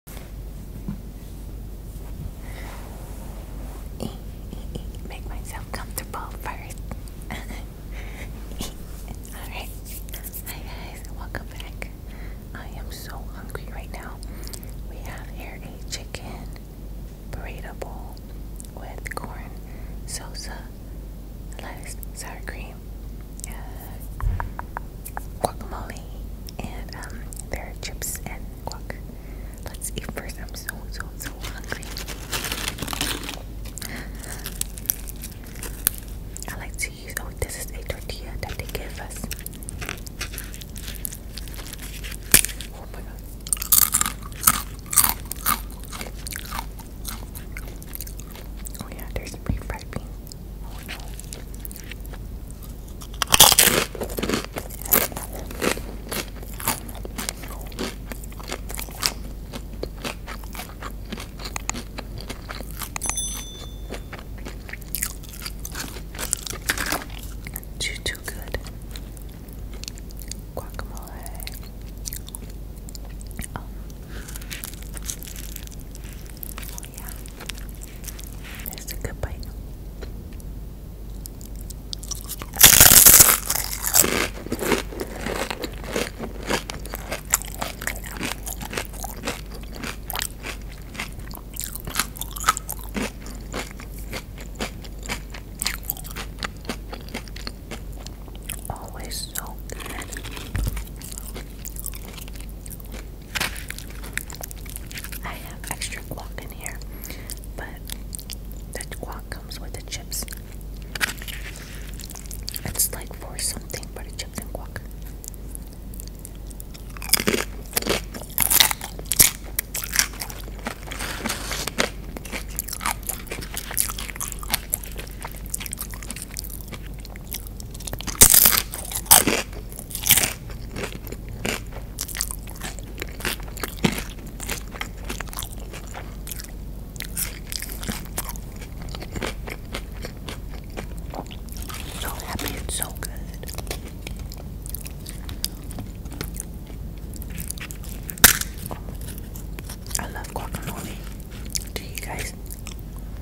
Make myself comfortable first. Alright. Hi guys, welcome back. I am so hungry right now. We have here a chicken burrito bowl with corn, salsa, lettuce, sour cream, guacamole and um, there are chips and guac. Let's eat first. I'm so, so, so hungry. I like to use, oh, this is a tortilla that they give us. Oh my god. Oh yeah, there's pre-fried beans. Too, too good. Guacamole. Um, yeah. That's a good bite. Always so good. I have extra guac in here, but that guac comes with the chips. It's like for something, but a chip and guac. So happy it's so good. I love guacamole. Do you guys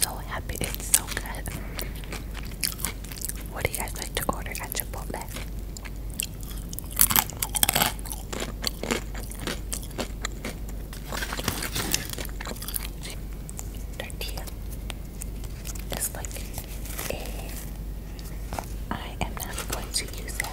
So happy, it's so good. What do you guys like to order at Chipotle? Tortilla is like a. I am not going to use that.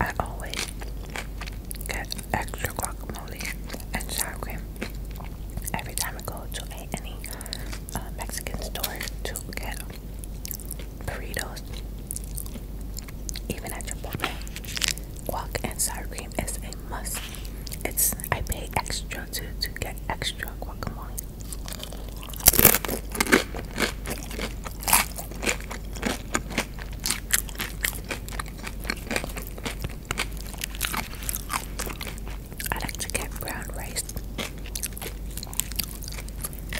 I always get extra guacamole and sour cream every time I go to any uh, Mexican store to get burritos, even at Chipotle. Guac and sour cream is a must. It's I pay extra to to get extra guacamole. I like to get brown rice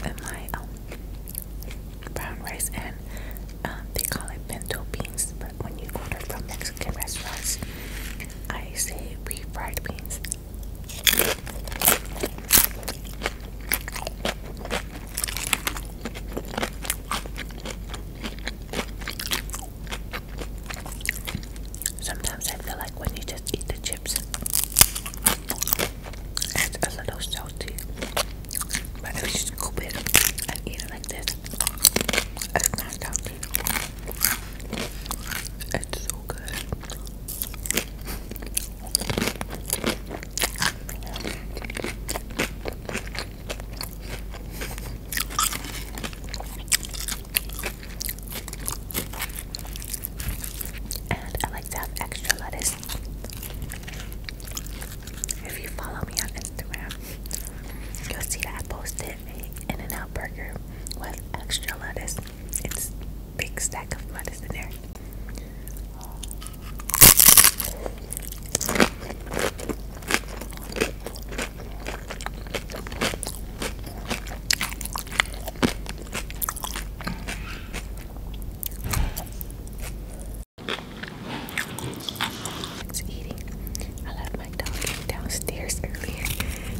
in my um brown rice and um, they call it bento beans. But when you order from Mexican restaurants, I say refried beans. Sometimes I feel like when you just eat the chips, it's a little salty, but if you scoop it and eat it like this, it's not salty. It's so good. And I have extra lettuce. If you follow me on Instagram, you'll see that I posted an In-N-Out burger with extra lettuce. It's a big stack of lettuce in there. I left my dog downstairs earlier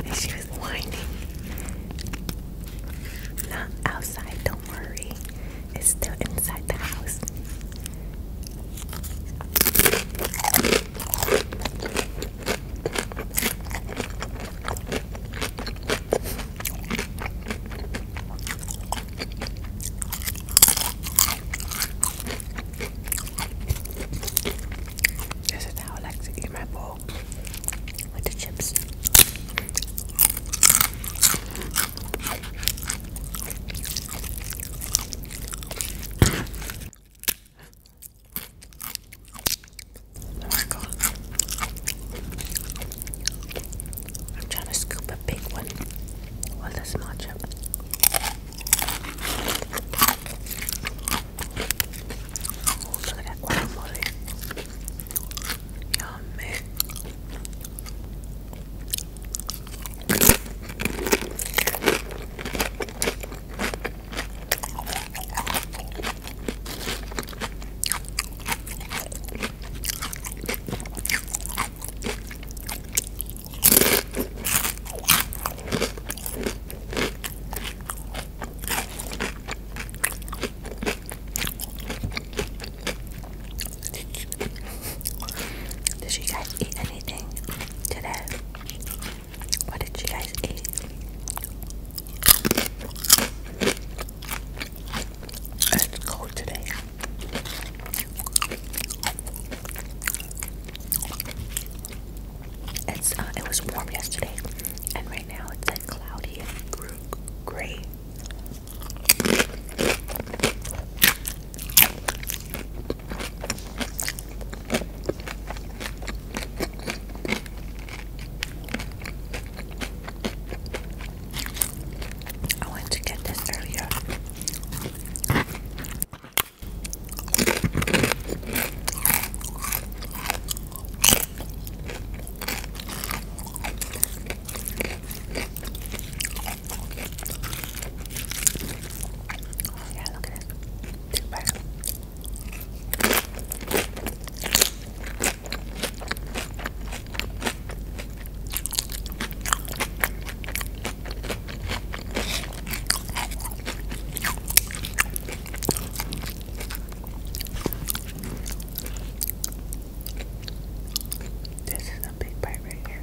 and she was whining. Not outside, don't worry. It's still inside the house. This is how I like my bowl with the chips. Oh my god. I'm trying to scoop a big one with this matcha. Oh, look at that Yummy. Did you guys eat anything today? What did you guys eat? it's cold today. Uh, it was warm yesterday, and right now it's like cloudy and gray. I went to get this earlier. Oh yeah, look at this. Big bite. This is a big bite right here.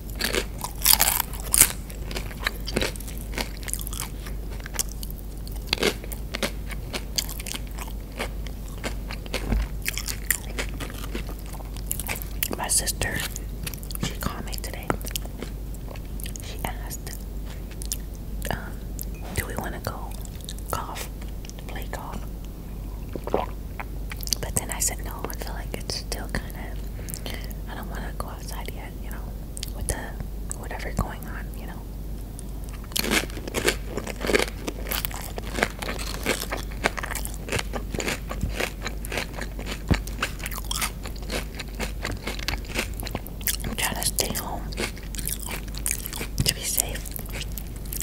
My sister, she called me today. She asked, um, do we want to go golf, play golf? But then I said, no, I feel like it's still kind of, I don't want to go outside yet, you know, with the whatever going on, you know. I'm trying to stay home to be safe.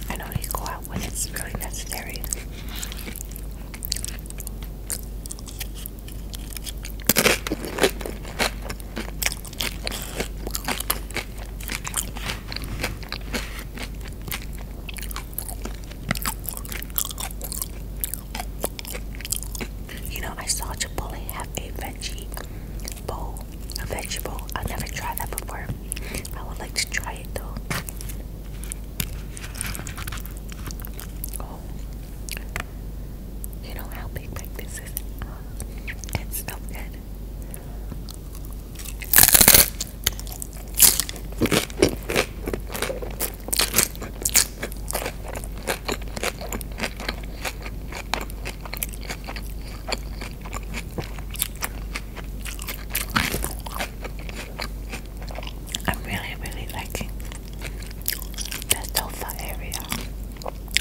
I know you go out when it's really necessary. You know, I saw Chipotle have a veggie bowl, a vegetable. i never tried that before. I would like to try it though. You know how big this is. It's so good. I'm really, really liking this sofa area,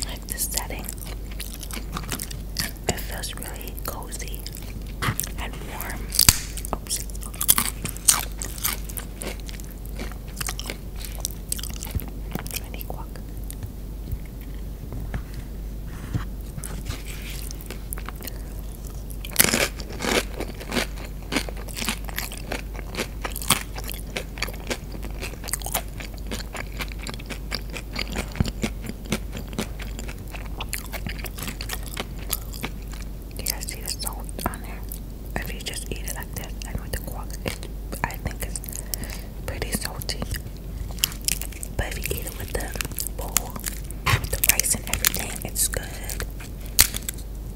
like the setting. It feels really cozy and warm. Oops. I need guac. Do you guys see the salt on there? If you just eat it like this and with the guac, I think it's pretty salty. But if you eat it with the bowl, with the rice and everything, it's good.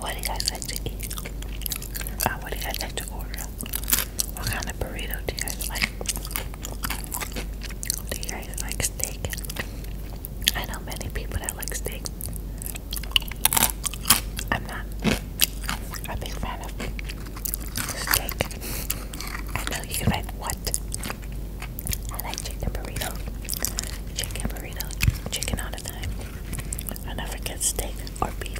What do you guys like to eat? Uh, what do you guys like to order? What kind of burrito do you guys like? Do you guys like steak? I know many people that like steak. I'm not a big fan of steak. I know you can like what? I like chicken burrito. Chicken burrito. Chicken all the time. I never forget steak or beef.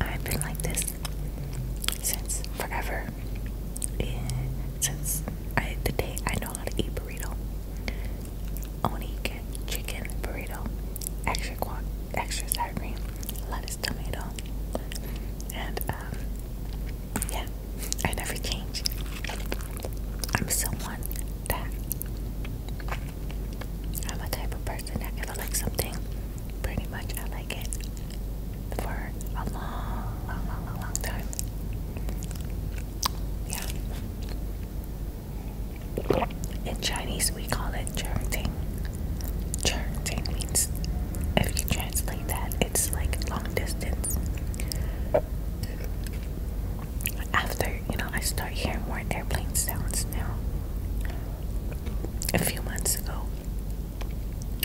I've been like this since forever. since I the day I know how to eat burrito. Only get chicken burrito, extra guac, extra side cream, lettuce, tomato, and um, yeah, I never change. I'm someone that. I'm a type of person that if I like something, pretty much I like it for a long, long, long, long, time. Yeah. In Chinese, we call it ting. churting. ting means, if you translate that, it's like long distance after you know I start hearing more airplane sounds now. A few months ago,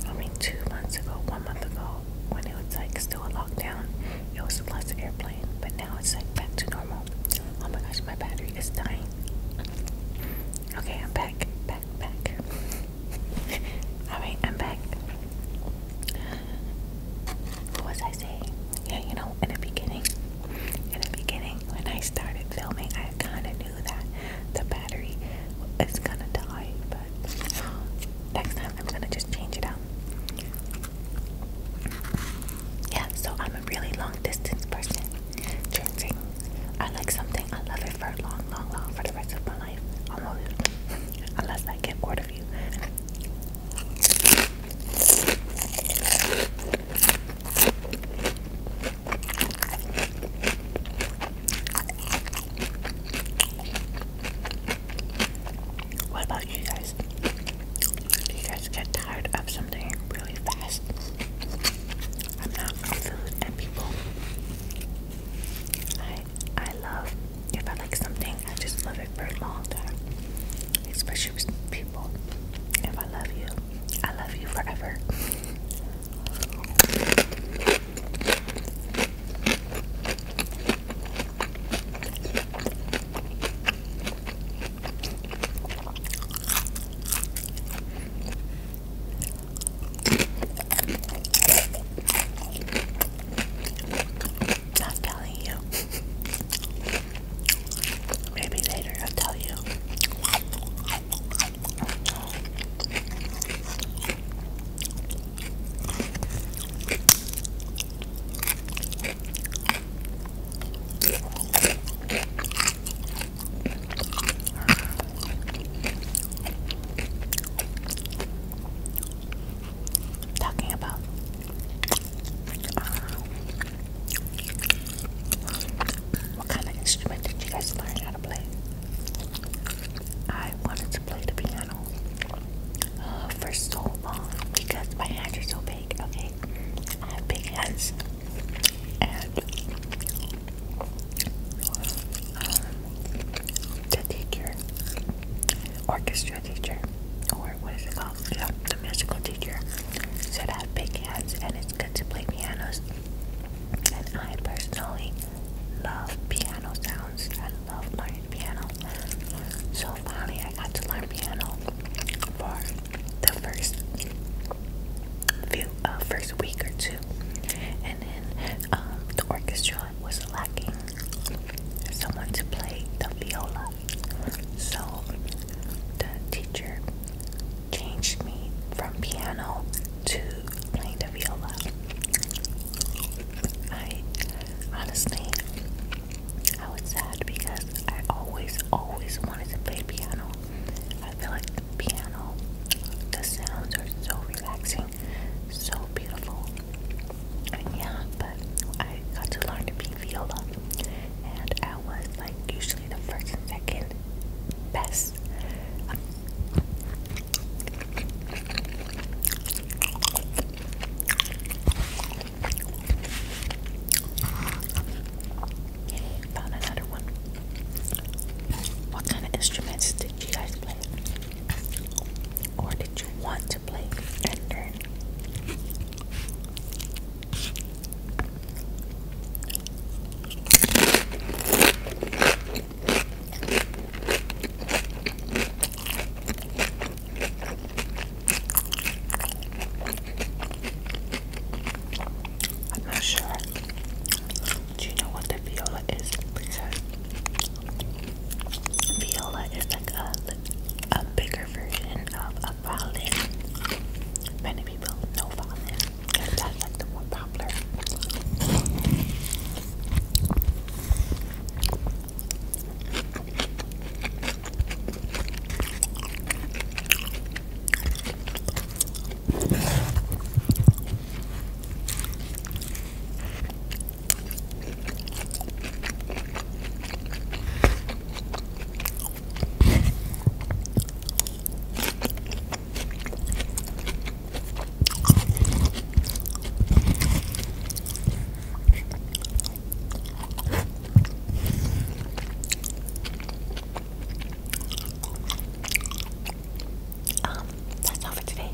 I mean two months ago, one month ago, when it was like still a lockdown, it was lots of airplane, but now it's like back to normal. Oh my gosh, my battery is dying. Okay, I'm back, back, back. Alright, I'm back. What was I saying? Yeah, you know, in the beginning, in the beginning when I started filming, I kind of knew that the battery is gonna die, but um, next time I'm gonna just change it out. Yeah, so I'm a really long distance person. Transing. I like something, I love it for long, long, long, for the rest of my life. Almost. Unless I get bored of you. What about you guys? Do you guys get tired of something really fast? I'm not food and people. I I love if I like something, I just love it for a long time. Especially with if I love you, I love you forever. Not telling you. Maybe later I'll tell you. Talking about what kind of instrument did you guys learn how to play? I wanted to play the piano for so long because my hands are so big, okay? I have big hands. And um, the teacher, orchestra teacher, or what is it called? um, yeah, the musical teacher said I have big hands and it's good to play pianos. And I personally love piano sounds. I love learning piano. So finally I got to learn piano for the first few uh, first week or two. And then um, the orchestra was lacking someone to play the viola. So the teacher changed me from piano to playing the viola. I honestly I was sad because I always always wanted to play piano. I feel like the piano the sounds are so relaxing, so beautiful. yeah, but I got to learn to be viola, and I was like usually the first and second best. Um, found another one. What kind of instruments did you guys play? Or did you want to play I'm not sure. Do you know what the viola is? Because viola is like a, a bigger version of love violin. Many people know violin that's like the more popular. Um, that's all for today.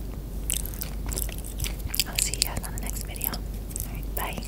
I'll see you guys on the next video. bye.